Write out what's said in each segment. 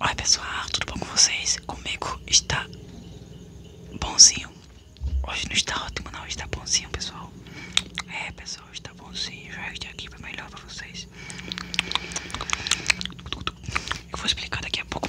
Oi pessoal, tudo bom com vocês? Comigo está bonzinho. Hoje não está ótimo não, está bonzinho pessoal. É pessoal, está bonzinho. Já estou aqui para melhorar para vocês. Eu vou explicar daqui a pouco.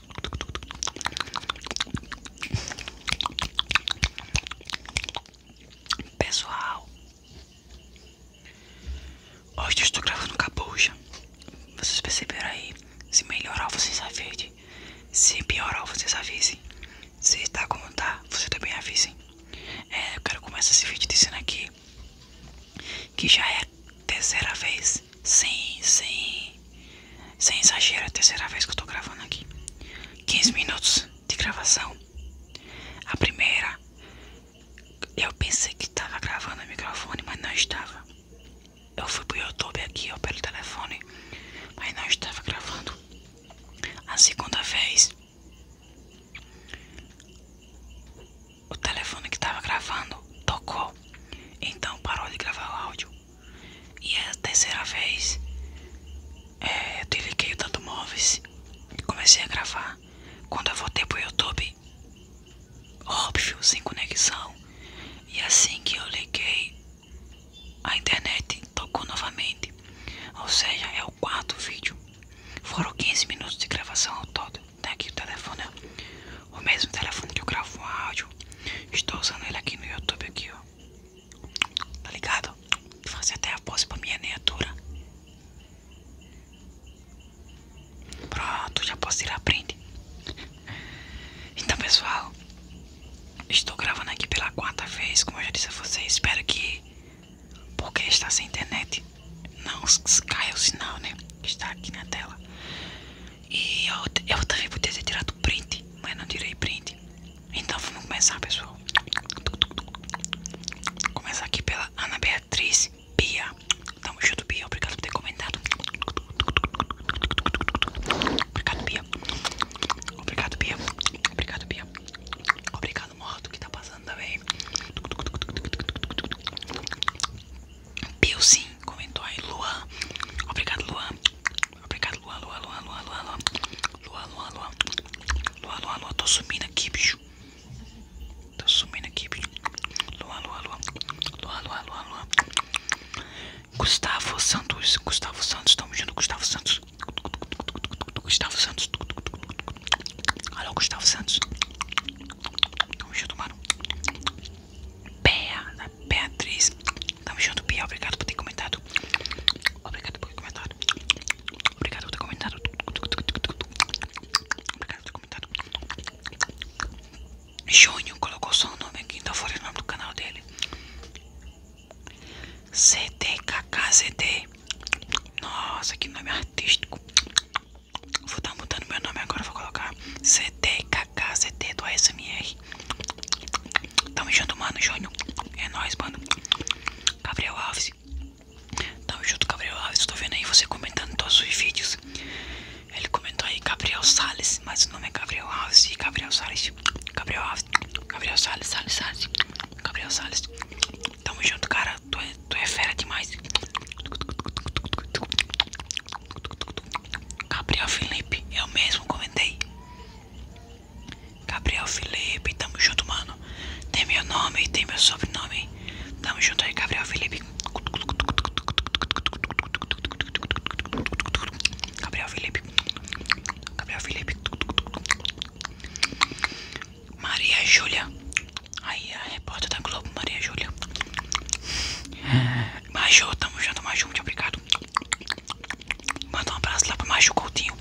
Pessoal, hoje eu estou gravando com a capucha. Vocês perceberam aí? Se melhorar, vocês avisem. Se piorar, vocês avisem. Se tá como tá, vocês também avisem. É, eu quero começar esse vídeo dizendo aqui que já é terceira vez sem, sem, sem exagero, é a terceira vez que eu tô gravando aqui. 15 minutos de gravação. A primeira, eu pensei que tava gravando o microfone, mas não estava. Eu fui pro YouTube aqui, ou pelo telefone, mas não estava gravando. A segunda vez, o telefone que tava gravando tocou, então parou de gravar o áudio. E é a terceira vez que é, eu desliguei o Tanto Móveis e comecei a gravar. Quando eu voltei para o YouTube, óbvio, sem conexão. E assim que eu liguei, a internet tocou novamente. Ou seja, é o quarto vídeo. Foram 15 minutos de gravação ao todo. Tá aqui o telefone o mesmo telefone que eu gravo o áudio. Estou usando ele aqui no YouTube, aqui, ó. Tá ligado? Vou fazer até a pose pra minha miniatura. Pronto, já posso ir a print. Então, pessoal, estou gravando aqui pela quarta vez, como eu já disse a vocês. Espero que, porque está sem internet, não caia o sinal, né? Está aqui na tela. E eu, eu também poderia ter tirado print, mas não tirei print. Então vamos começar, pessoal. Começar aqui pela Ana Beatriz Bia. Tamo junto, Bia. Obrigado por ter comentado. Obrigado, Bia. Obrigado, Bia. Obrigado, Bia. Obrigado, Morto, que tá passando também. sim comentou aí, Luan. Obrigado, Luan. Obrigado, Luan, Luan, Luan, Luan, Luan, Luan. Luan, Luan, Tô sumindo aqui, bicho. Tô sumindo aqui, bicho. Luan, Luan, Luan. Luan, Luan, Gustavo Santos. Gustavo Santos. Tamo junto, Gustavo Santos. Gustavo Santos. Alô, Gustavo Santos. Tamo junto, mano. Bea, da Beatriz. Tamo junto, Pia, Obrigado por ter comentado. Obrigado por ter comentado. Obrigado por ter comentado. Obrigado por ter comentado. Júnior colocou só o nome aqui, então fora o nome do canal dele. Ctkkzt, Nossa, que nome artístico. Vou estar tá mudando meu nome agora, vou colocar Ctkkzt do ASMR. Deus. Tamo junto, mano, Júnior. É nóis, mano. Gabriel Alves. Tamo junto, Gabriel Alves. Tô vendo aí você comentando todos os vídeos. Ele comentou aí Gabriel Salles, mas o nome é Gabriel Alves Gabriel Salles. Gabriel Alves. Gabriel Salles, Salles, Salles. Gabriel Salles. Tamo junto, cara. tu é, é fera demais. Gabriel Felipe, eu mesmo comentei. Gabriel Felipe, tamo junto, mano. Tem meu nome, tem meu sobrenome. Tamo junto aí, Gabriel Felipe. Gabriel Felipe. Gabriel Felipe. Maria Júlia. Aí a repórter da Globo, Maria Júlia. Maju, tamo junto, Maju, muito obrigado. Manda um abraço lá pro Machu Coutinho.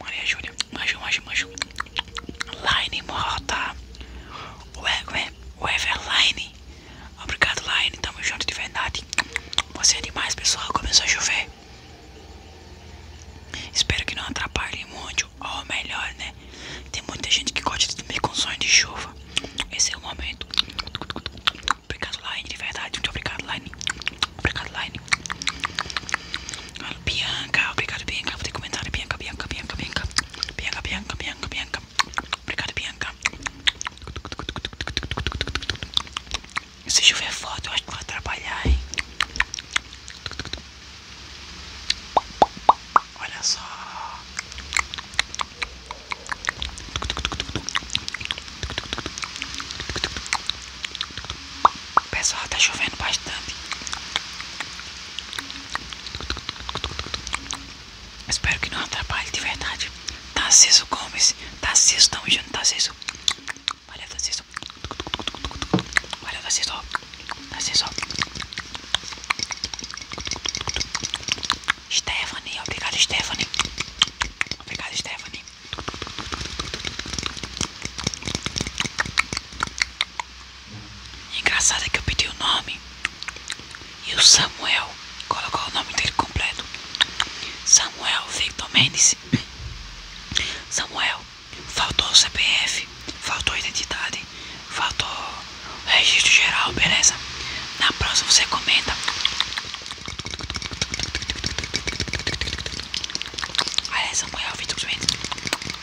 Maria Júlia. machu, machu, machu. Line Morta. Ué, ué, o Everline. Obrigado, Line. Tamo junto de verdade. Você é demais, pessoal. Começou a chover. Espero que não atrapalhe muito. Ou melhor, né? Tem muita gente que gosta de dormir com sonho de chuva. Esse é o momento. Obrigado, Line, de verdade. Muito obrigado, Line. Obrigado, Line. Bianca, obrigado, Bianca. Vou ter comentário. Bianca, Bianca, Bianca, Bianca. Bianca, Bianca, Bianca, Bianca. Obrigado, Bianca. Se chover foto, eu acho que vai trabalhar, hein? Olha só. Pessoal, tá chovendo bastante. Espero que não atrapalhe de verdade. Tá Tarciso Gomes, Tarciso, tamo junto, Tarciso. Valeu, tá Valeu, tá Tarciso. Stephanie, obrigado Stephanie. Obrigado Stephanie. Engraçado é que eu pedi o nome e o Samuel colocou o nome dele completo. Samuel Victor Mendes. Samuel, faltou CPF, faltou identidade, faltou registro geral, beleza? Na próxima você comenta Olha Samuel, Vitor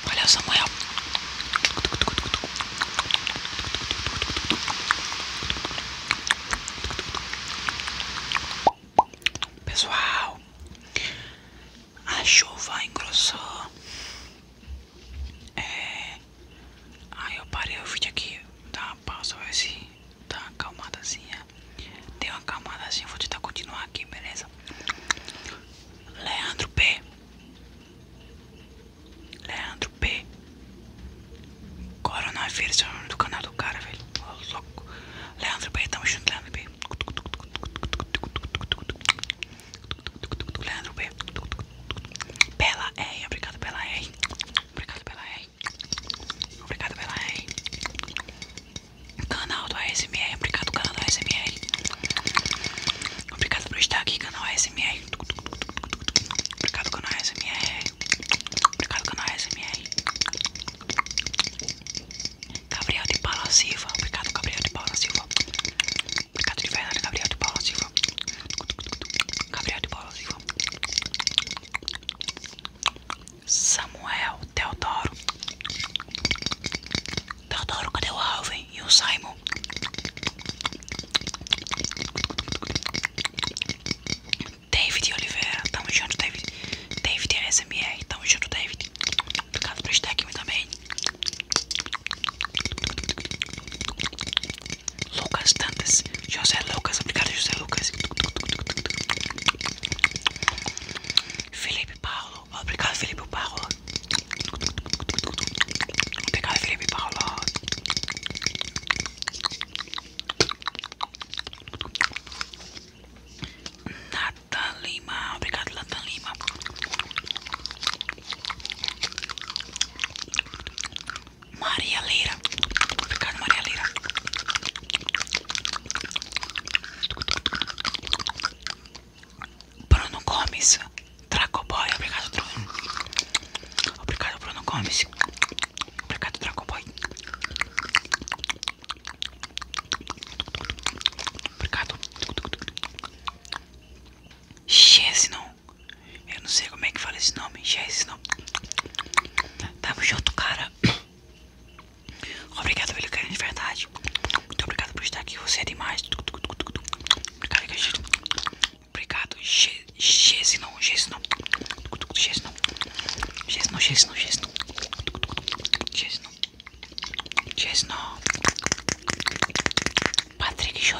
Olha o Samuel Pessoal, a chuva engrossou é, Aí eu parei o vídeo aqui, dá uma pausa, vai se dar uma acalmadazinha. Deu uma acalmadazinha, vou tentar continuar aqui, beleza? Leandro P. Leandro P. Coronavírus é o nome do canal do cara, velho. louco. Leandro P, tamo junto, Leandro P. Leandro P. Pela R, obrigado pela R. Obrigado pela rei. Obrigado pela rei. Canal do ASMR. Obrigado, canal do ASMR. Obrigado por estar aqui, canal ASMR. Obrigado, canal ASMR. Obrigado, canal ASMR. Gabriel de Paula Silva. Obrigado, Gabriel de Paula Silva. Obrigado de verdade, Gabriel de Paula Silva. Gabriel de Paula Silva. Samuel, Teodoro. Teodoro, cadê o Alvin e o Simon? David Oliveira, tamo junto, David. David é SMR, tamo junto, David. Obrigado por estar aqui também. Lucas Dantas, José Lucas, obrigado José Lucas Felipe Paulo, obrigado Felipe Paulo Obrigado Felipe Paulo Nathan Lima, obrigado Nathan Lima Maria Leira. obrigado Maria Leira. Bruno Gomes. Dracoboy. Obrigado, Bruno. Obrigado, Bruno Gomes. Obrigado, Dracoboy. Obrigado. não. Eu não sei como é que fala esse nome. Já é Tamo junto, cara. Obrigado pelo carinho de verdade. Muito obrigado por estar aqui. Você é demais. Obrigado, gente. Obrigado, Gesinon. Gesinon. Gesinon. Gesinon, Gesinon, Gesinon. Patrick Jô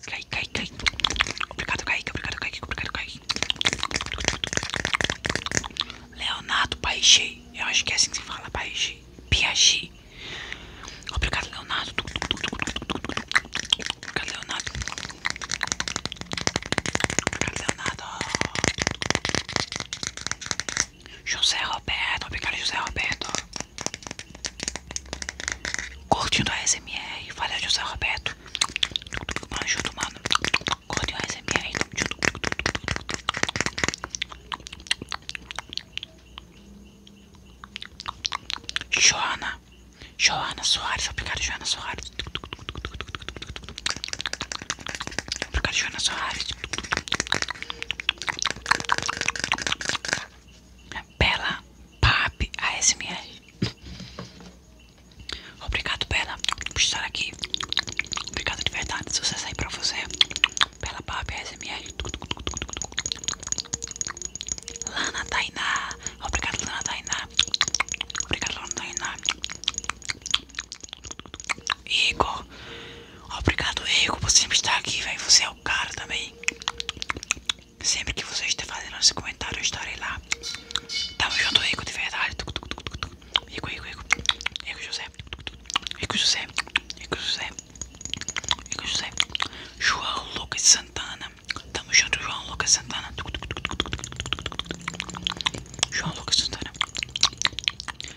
caí caí caí Obrigado, caí Obrigado, caí Obrigado, Kaique. Leonardo Paixi. Eu acho que é assim que se fala, Paixi. Piagi. Obrigado, Leonardo. Obrigado, Leonardo. Obrigado, Leonardo. José Roberto. Obrigado, José Roberto cortinho a SMR, valeu José Roberto. Manjudo, mano. cortinho a SMR. Joana. Joana Soares. Obrigado, Joana Soares. Obrigado, Joana Soares. Bela Pap ASMR. Obrigado, Bela, por estar aqui. Obrigado de verdade. Sucesso aí pra você. Bela Pap ASMR. Lana Tainá. Obrigado, Lana Tainá. Obrigado, Lana Tainá. Igor. Obrigado, Igor, por sempre estar aqui, velho. Você é o cara também. Sempre que você estiver fazendo esse comentário, eu estarei lá. Tamo junto, Rico, de verdade. Rico, Rico, Rico. Rico José. Rico José. Rico José. Rico José. João Lucas Santana. Tamo junto, João Lucas Santana. João Lucas Santana.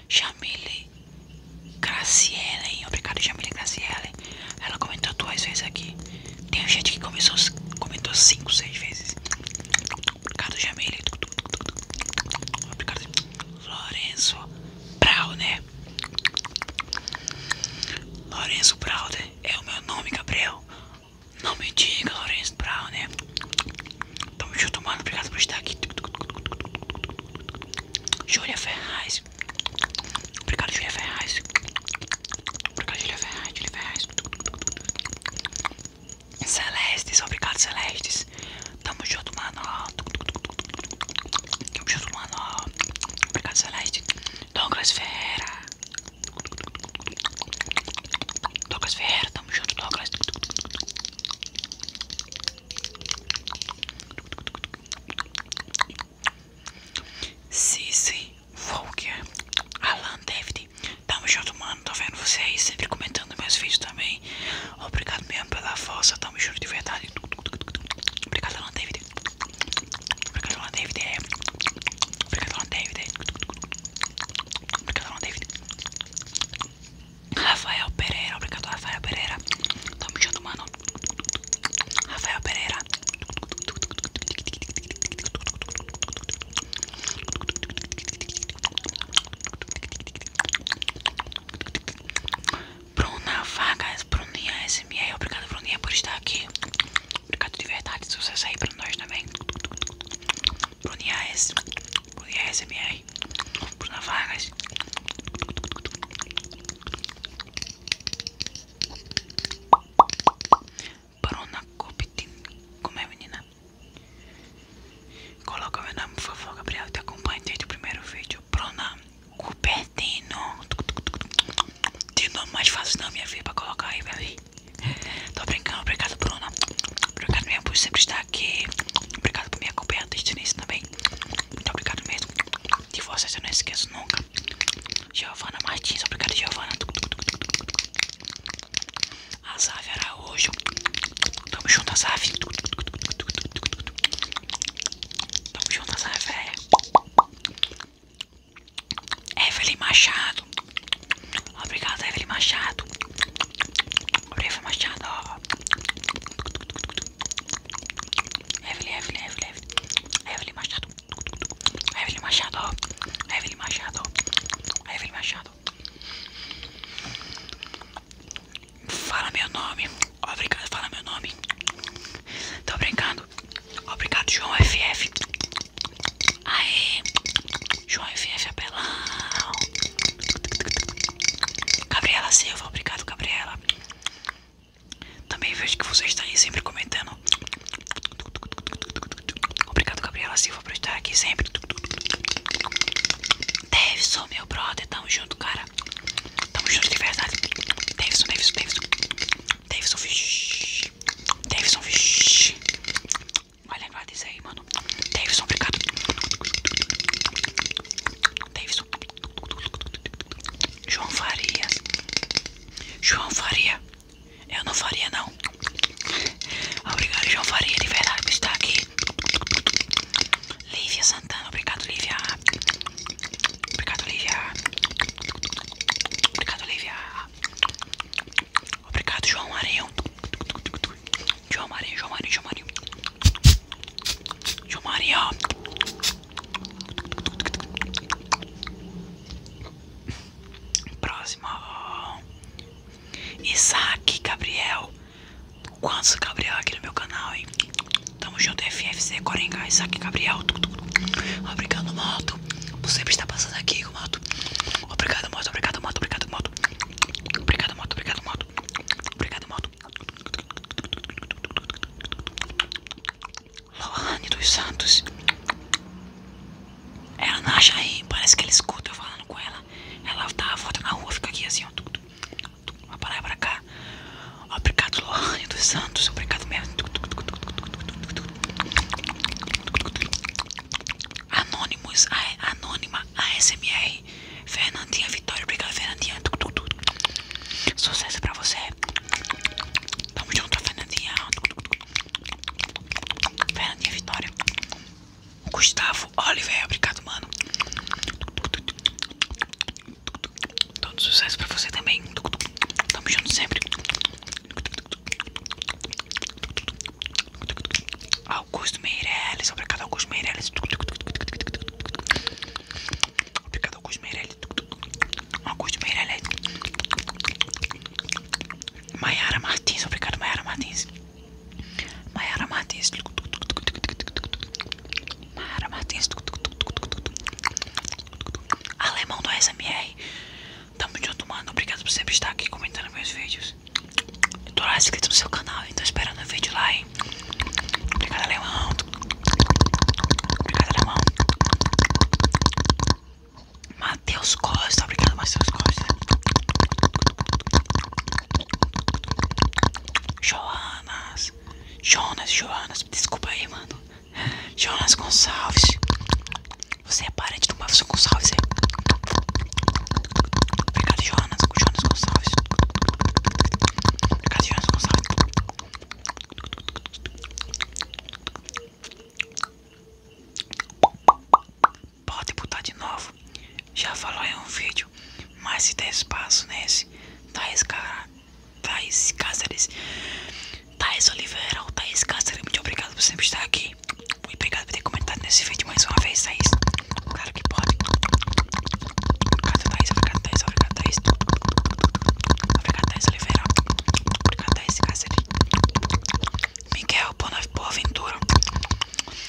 Jamile Graciela, hein? Obrigado, Jamile Graciela. Ela comentou duas vezes aqui. Tem gente que começou, comentou cinco, seis vezes. Ricardo Jamile. Ricardo Lourenço Brauner. Lourenço Brauner é o meu nome, Gabriel. Não me diga, Lourenço Brauner. Tamo junto, mano. Obrigado por estar aqui. Júlia Ferraz. Obrigado, Julia Ferraz. Obrigado, Julia Ferraz, Julia Ferraz. Celestes, obrigado, Celestes. Tamo junto, mano. Tamo junto, mano. Obrigado, celestes, Douglas Ferreira. Douglas Ferreira, tamo junto, Douglas. Cici Volker, é. Alan David. Tamo junto, mano. Tô vendo vocês sempre comentando meus vídeos também. Obrigado mesmo pela força. Tamo junto de verdade. Obrigado, Alan David. Obrigado, Alan David. Obrigado, Alan David. Obrigado, Alan David. Rafael Pereira. Obrigado, Rafael Pereira. Tamo junto, mano. Rafael Pereira Bruna Vargas, Bruninha SMR, obrigado Bruninha por estar aqui. Obrigado de verdade, se você sair pra nós também. Bruninha S, Bruninha SMR, Bruna Vargas. Bruna, Paranacopitin. Como é, menina? Coloca meu nome, por favor, Gabriel, te acompanhe desde o primeiro vídeo. Prona Cupertino. De nome mais fácil da minha vida pra colocar aí, velho. Tô brincando, obrigado, Bruna. Obrigado mesmo por sempre estar aqui. Obrigado por me acompanhar desde o também. Muito obrigado mesmo. De vocês eu não esqueço nunca. Giovana Martins, obrigado Giovana. Azaf Araújo. Tamo junto, Azaf. Tamo junto, Azaf, véia. Evelyn Machado. Obrigado, Evelyn Machado. Evelyn Machado, ó. Evelyn, Evelyn, Machado. Evelyn Machado, Evelyn Machado, Evelyn Machado. Fala meu nome, obrigado, fala meu nome. Tô brincando, obrigado, João FF. Aê, João FF apelão. Gabriela Silva, obrigado, Gabriela. Também vejo que vocês estão aí sempre comentando. Obrigado, Gabriela Silva, por estar aqui sempre. Davidson, meu brother, tamo junto, cara. Tamo junto de verdade. Davidson, Davidson, Davidson. Davidson, vixi. Davidson, vixi. Vai lembrar disso aí, mano. Davidson, obrigado. Davidson. João Farias. João Faria. Eu não faria, não. Obrigado, João Faria, de verdade, estar aqui. Lívia Santana, obrigado, Lívia. Obrigado, Lívia. Obrigado, Lívia. Obrigado, João Marinho. João Marinho, João Marinho, João Marinho. João Marinho. Próximo. Isaac, Gabriel. quanto Gabriel aqui no meu canal, hein? Tamo junto, FFC, Coringa, Isaac, Gabriel. Obrigado, moto. você está passando aqui, moto. moto. Obrigado, moto. Obrigado, moto. Obrigado, moto. Obrigado, moto. Obrigado, moto. Lohane dos Santos. Ela na Jair, parece que ela escuta eu falando com ela. Ela tá volta na rua, fica aqui assim, ó. Tuc, tuc, pra lá e pra cá. Obrigado, Lohane dos Santos. Obrigado mesmo. Anônimos, Anônima, ASMR. Fernandinha Vitória, obrigado, Fernandinha. Sucesso pra você. Tamo junto, Fernandinha. Fernandinha Vitória. Gustavo Oliveira, obrigado, mano. Todo sucesso pra você também. Tamo junto sempre. Augusto Meirelles, obrigado, Augusto Meirelles. Obrigado, Augusto Meirelli. Augusto Meirelli. Maiara Martins. Obrigado, Maiara Martins. Maiara Martins. Maiara Martins. Alemão do SMR. Tamo junto, mano. Obrigado por sempre estar aqui comentando meus vídeos. Eu tô lá inscrito no seu canal, então esperando o vídeo lá, hein? Obrigado, alemão. Obrigado, alemão. Matheus Costa, obrigado Matheus Costa. Joanas, Jonas, Joanas, desculpa aí, mano. Jonas Gonçalves. Você é parente do Mafson Gonçalves, é? Obrigado, Jonas, Jonas Gonçalves. Obrigado, Jonas Gonçalves. Pode botar de novo. Já falou em um vídeo. Mas se der espaço nesse, Thaís, Car... Thaís Cáceres, Thaís Oliveira ou Thaís Cáceres, muito obrigado por sempre estar aqui. Muito obrigado por ter comentado nesse vídeo mais uma vez, isso? Claro que pode. Obrigado, Thaís. Obrigado, Thaís. Obrigado, Thaís. Obrigado, Thaís. Oliveira, obrigado a esse cacete. Miguel Boaventura,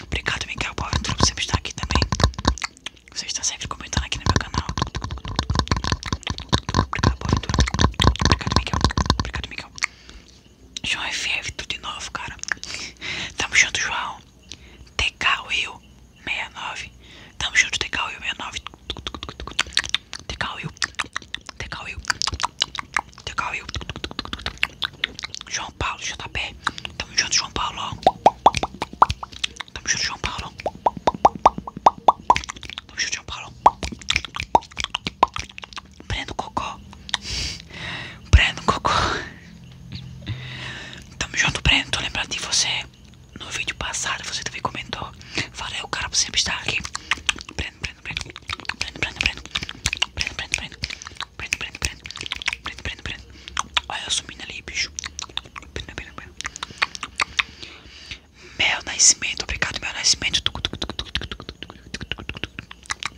obrigado Miguel Boaventura por sempre estar aqui também. Você está sempre comentando aqui no meu canal. Obrigado Boaventura, obrigado Miguel, obrigado Miguel. João FF, tudo de novo, cara. Tamo junto, João. TK Will 69. Tamo junto, TK Will 69. Te caiu, te caiu, te caiu. João Paulo, JP. Tamo junto, João Paulo. Tamo junto, João Paulo. Tamo junto, João Paulo. Breno Cocô. Breno Cocô. Tamo junto, Breno. Tô lembrando de você. No vídeo passado você também comentou ó. Falei, o cara sempre está aqui. Prendo, prendo, prendo. Prendo, prendo, prendo. Prendo, prendo, prendo. Prendo, prendo, prendo. Prendo, prendo, prendo. Olha eu sumindo ali, bicho. Prendo, prendo, prendo. Meu nascimento, obrigado, meu nascimento.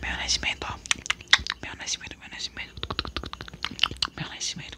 Meu nascimento, ó. Meu nascimento, meu nascimento. Meu nascimento. Meu nascimento.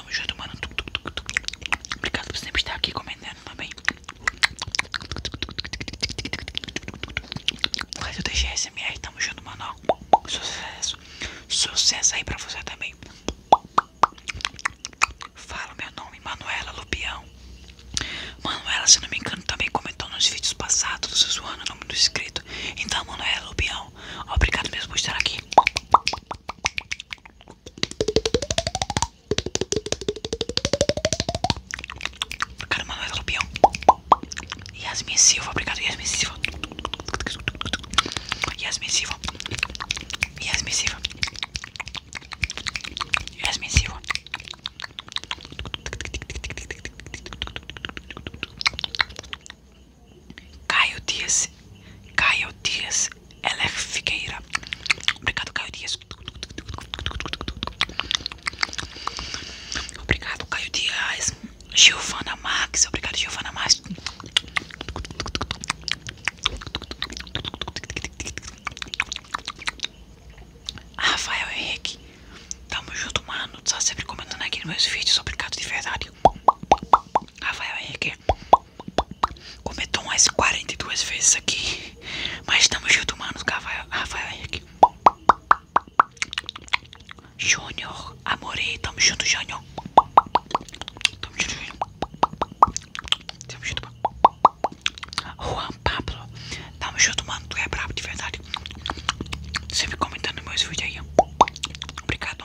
Tamo junto, mano. Obrigado por sempre estar aqui comentando também. Mas eu deixei SMR, tamo junto, mano. Sucesso. Sucesso aí pra você também. Fala meu nome, Manuela Lupião. Manuela, se não me engano, também comentou nos vídeos passados, zoando o nome do inscrito. Então, Manuela Lupião, obrigado mesmo por estar aqui caramba Cara, Manuel é Rubião. Yasmin Silva, obrigado, Yasmin Silva. Yasmin Silva. Yasmin Silva. Yasmin Silva. Caio Dias. Caio Dias. Ela é Figueira. Obrigado, Caio Dias. Obrigado, Caio Dias. Giovana Max. Obrigado, Giovana Max. Rafael Henrique. Tamo junto, mano. Tá sempre comentando aqui nos meus vídeos. Obrigado de verdade. Rafael Henrique. Comentou umas 42 vezes aqui. Mas estamos juntos, mano. Rafael, Rafael aqui. Júnior, amorei. Tamo junto, Júnior. Tamo junto, Júnior. Tamo junto, Juan Pablo. Tamo junto, mano. Tu é brabo de verdade. Sempre comentando meus vídeos aí. Obrigado.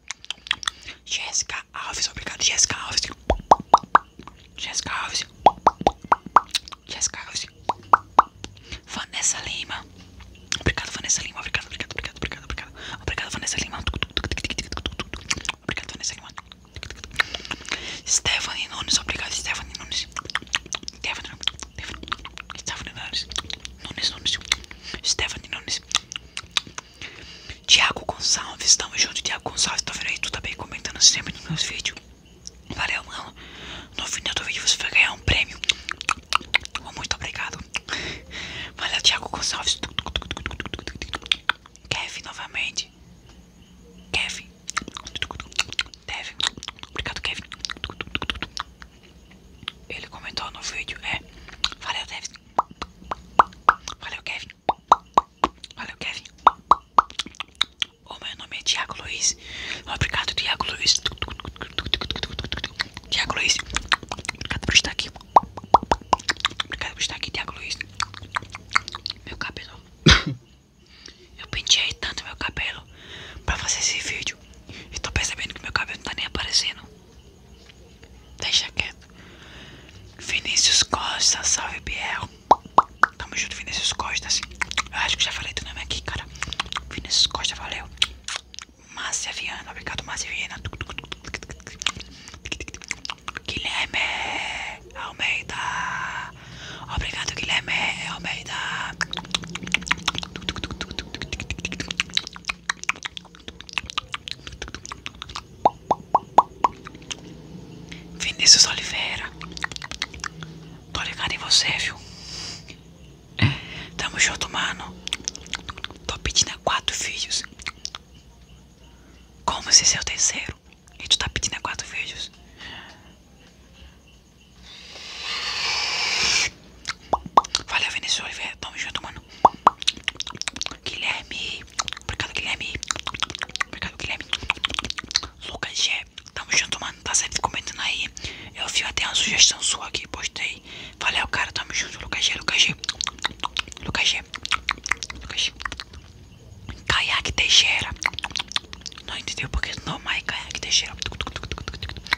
Jessica Alves, obrigado, Jessica Alves. Jessica Alves. Jéssica Alves. Vanessa Lima. Obrigado, Vanessa Lima. Obrigado, obrigado, obrigado, obrigado, obrigado. Vanessa Lima. Obrigado, Vanessa Lima. Stephanie Nunes, obrigado, Stephanie Nunes. Stephanie Nunes. Nunes. Nunes. Stephanie Nunes. Tiago Gonçalves, tamo junto, Tiago Gonçalves, tô vendo aí? Tu tá bem comentando sempre nos meus vídeos. Valeu, mano. No final do vídeo você vai ganhar um prêmio. Muito obrigado. Valeu, Tiago Gonçalves. Kevin novamente. Kevin. Kevin. Obrigado, Kevin. Ele comentou no vídeo. É. Valeu, Kevin. Valeu, Kevin. Valeu, Kevin. O meu nome é Diago Luiz. Obrigado, Diago Luiz. Diago Luiz. Obrigado por estar aqui. Obrigado por estar aqui, Diago Luiz. Meu cabelo. Eu penteei tanto meu cabelo pra fazer esse vídeo. E tô percebendo que meu cabelo não tá nem aparecendo. Deixa quieto. Vinícius Costa, salve Biel. Tamo junto, Vinícius Costa. Assim. acho que já falei do nome aqui, cara. Vinícius Costa, valeu. Márcia Viana, obrigado, Márcia Viana. Guilherme Almeida. Obrigado, Guilherme Almeida. Vinícius Oliveira, tô ligado em você, viu? Tamo junto, mano. Tô pedindo a quatro filhos. Como você é o terceiro? E tu tá pedindo a quatro filhos? Valeu, Vinícius Oliveira. Tamo junto, mano. Guilherme. Guilherme. Obrigado, Guilherme. Obrigado, Guilherme. Lucas G. Tamo junto, mano. Tá sempre comentando aí. Eu vi até uma sugestão sua aqui. Postei. Valeu, cara. Tamo junto, Lucas G. Lucas G. Lucas G. Lucas G. Caiaque Teixeira. Não entendi o porquê não, mas Caiaque Teixeira.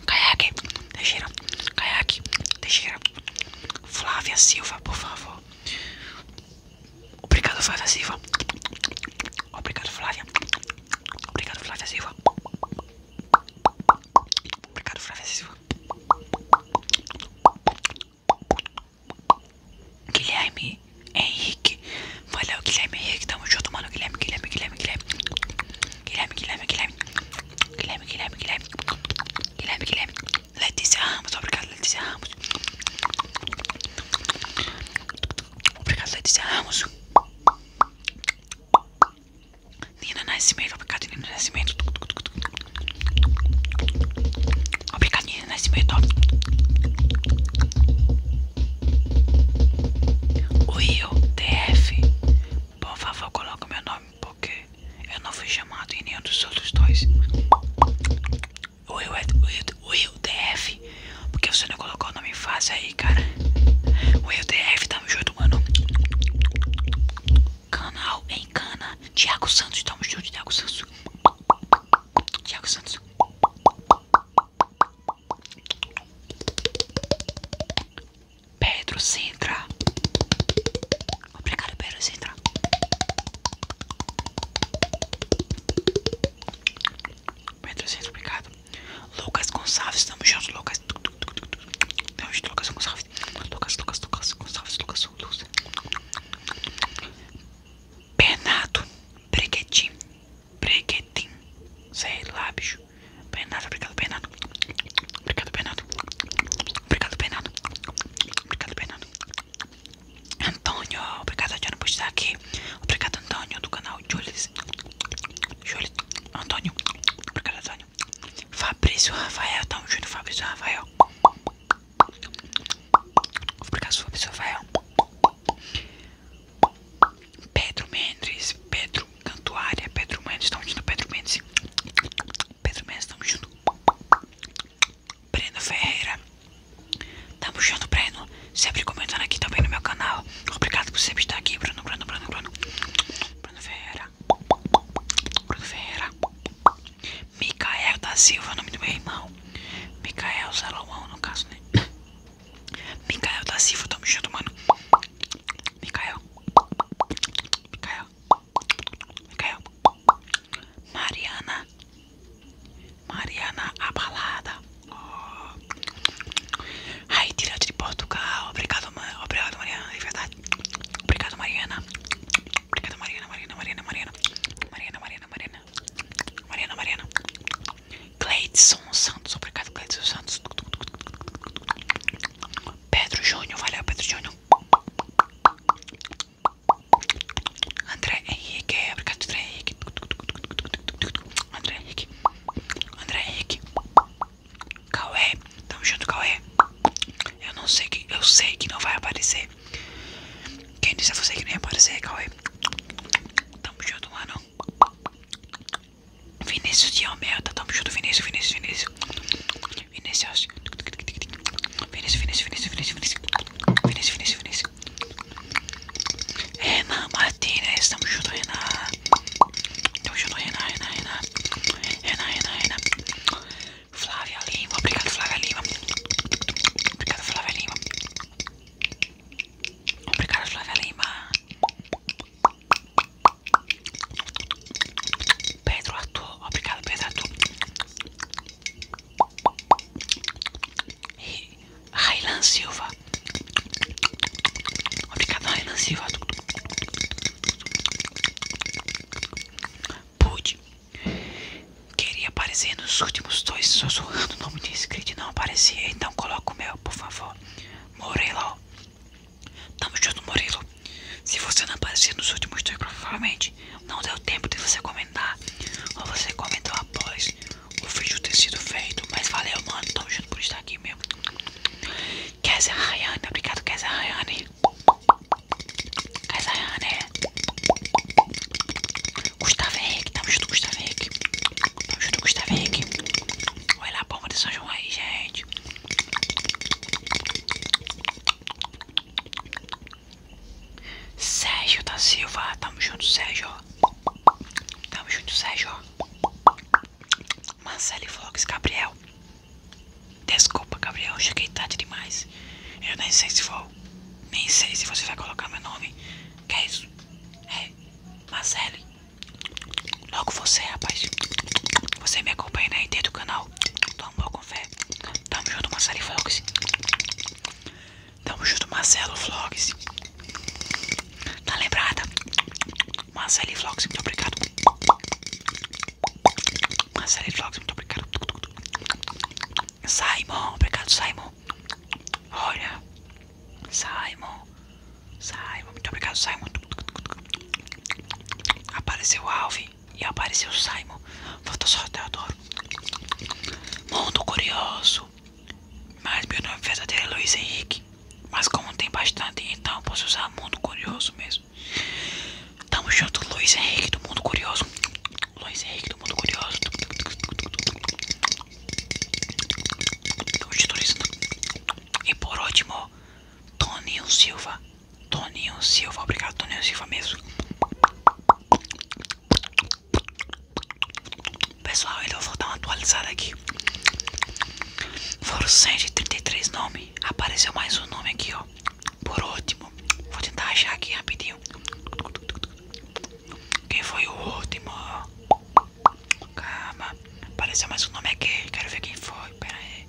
Caiaque Teixeira. Caiaque Teixeira. Flávia Silva, por favor. Obrigado, Flávia Silva. Obrigado, Flávia. Obrigado, Flávia Silva. Obrigado, Flávia Silva. Guilherme Henrique. Valeu, Guilherme Henrique. Tamo junto, mano. Guilherme, Guilherme, Guilherme, Guilherme. Guilherme, Guilherme, Guilherme. Guilherme, Guilherme, Guilherme. Guilherme, Guilherme. Letícia Ramos, obrigado Letícia Ramos. Obrigado Letícia Ramos. Nina Nascimento, obrigado Nina Nascimento. Obrigado Nina Nascimento. O Rio TF, por favor coloca meu nome porque eu não fui chamado em nenhum dos outros dois. Will, é, Will, Will DF. Porque você não colocou o nome fácil aí, cara. Will DF, tamo junto, mano. Canal em cana. Tiago Santos, tamo junto, Tiago Santos. Tiago Santos. Pedro Sintra. Obrigado pelo centro. Pedro Centro, obrigado. Lucas Gonçalves, tamo junto, Lucas. Tamo junto, Lucas Gonçalves. Lucas, Lucas, Lucas Gonçalves, Lucas Souza. Bernardo Breguetim. Breguetim. Sei lá, bicho. Bernardo, obrigado, Bernardo. Obrigado, Bernardo. Obrigado, Bernardo. Obrigado, Bernardo. Antônio, obrigado Antônio por estar aqui. Obrigado Antônio do canal Jules. Jules. Antônio. Obrigado Antônio. Fabrício Rafael, estamos juntos Fabrício Rafael. Obrigado Fabrício Rafael. Pedro Mendes, Pedro Cantuária, Pedro Mendes, estamos juntos Pedro Mendes. Pedro Mendes, tamo junto. Breno Ferreira. Tamo junto, Breno. Sempre comentando aqui também no meu canal. Obrigado por sempre estar aqui, Bruno, Bruno, Bruno, Bruno. Bruno Ferreira. Bruno Ferreira. Micael da Silva, nome do meu irmão. Micael Salomão, no caso, né? Micael da Silva, tamo junto, mano. Micael. Micael. Micael. Mariana. Mariana Abalada. Oh. Ai, direto de Portugal. Obrigado, ma obrigado, Mariana. É verdade. Obrigado, Mariana. Obrigado, Mariana, Mariana, Mariana, Mariana. Mariana, Mariana, Mariana. Mariana, Mariana. Gleidson Santos. Obrigado, Gleidson Santos. Pedro Júnior. Valeu, Pedro Júnior. André Henrique, obrigado André Henrique André Henrique André Henrique tamo junto Cauê Eu não sei que, eu sei que não vai aparecer Quem disse a você que não ia aparecer, Calé? Tamo junto, mano Vinícius de Almeida, tamo junto Vinícius, Vinícius, Vinícius Vinícius Vinícius, Vinícius, Vinícius, Vinícius, Vinícius, Vinícius, Vinícius, Vinícius, Renan Martinez, tamo junto, Renan. Tamo junto, Renan, Renan, Renan. Renan, Renan, Renan. Flávia Lima, obrigado, Flávia Lima. Obrigado, Flávia Lima. Obrigado, Flávia Lima. Pedro Arthur, obrigado, Pedro Arthur. E Railan Silva. Obrigado, Railan Silva. Pude. Queria aparecer nos últimos dois sussurrando o nome de inscrito não aparecia. Então coloca o meu, por favor. Morelo. Tamo junto, Morelo. Se você não aparecer nos últimos dois, provavelmente não deu tempo de você comentar ou você comentou após o vídeo ter sido feito, mas valeu, mano, tamo junto por estar aqui mesmo. Kézia Rayane, obrigado, Kézia Rayane. Kézia Rayane. Gustavo Henrique, tamo junto, Gustavo Henrique. Tamo junto, Gustavo Henrique. Olha a bomba de São João aí, gente. Sérgio da Silva, tamo junto, Sérgio. Tamo junto, Sérgio. Marcele Vlogs, Gabriel. Desculpa, Gabriel, cheguei tarde demais. Eu nem sei se vou. Nem sei se você vai colocar meu nome. Que é isso? É, Marcele. Logo você, rapaz. Você me acompanha na né? do canal. Tamo com fé. Tamo junto, Marcele Vlogs. Tamo junto, Marcelo Vlogs. Tá lembrada? Marcelo Vlogs, muito obrigado. Marcelo Vlogs, muito obrigado. Simon, obrigado, Simon. Olha, Simon, Simon, muito obrigado, Simon. Apareceu o Alvin e apareceu o Simon. Falta só Teodoro. Mundo curioso. Mas meu nome verdadeiro é Luiz Henrique. Mas como tem bastante, então posso usar Mundo Curioso mesmo. Tamo junto, Luiz Henrique do Mundo Curioso. Luiz Henrique do Mundo Curioso. Tamo turizando. E por último, Toninho Silva. Toninho Silva, obrigado Toninho Silva mesmo. Pessoal, então eu vou dar uma atualizada aqui. Foram 133 nomes. Apareceu mais um nome aqui, ó. Por último, vou tentar achar aqui rapidinho. Quem foi o último? Calma, apareceu mais um nome aqui. Quero ver quem foi. Pera aí.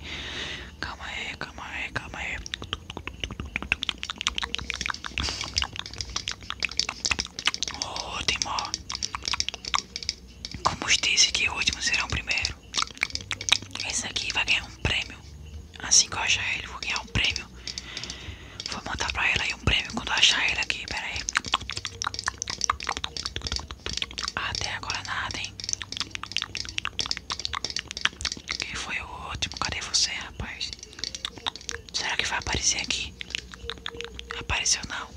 Calma aí, calma aí, calma aí. O último. Como os disse que o último será o primeiro. Esse aqui vai ganhar um prêmio. Assim que eu achar ele, vou ganhar um prêmio. Vou montar pra ela aí um prêmio quando eu achar ele aqui. Pera aí. Até agora nada, hein? Quem foi o último? Cadê você, rapaz? Será que vai aparecer aqui? Apareceu não.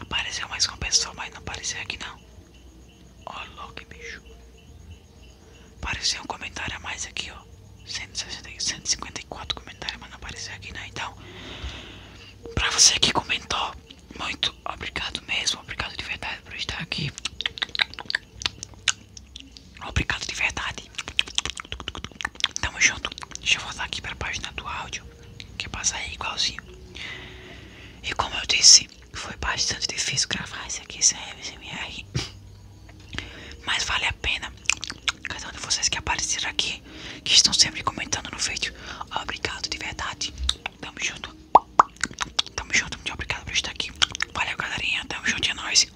Apareceu mais com pessoa, mas não apareceu aqui não. Ó, oh, que bicho. Apareceu um comentário a mais aqui, ó. 154 comentários, mas não apareceu aqui não. Né? Então, pra você que comentou, muito obrigado mesmo. Obrigado de verdade por estar aqui. Obrigado de verdade. Tamo junto. Deixa eu voltar aqui para a página do áudio. Que passa aí igualzinho. E como eu disse, foi bastante difícil gravar isso aqui sem SMR. Mas vale a pena. Cada um de vocês que apareceram aqui, que estão sempre comentando no vídeo. Obrigado de verdade. Tamo junto. Tamo junto. Muito obrigado por estar aqui. Valeu, galerinha. Tamo junto. É nóis.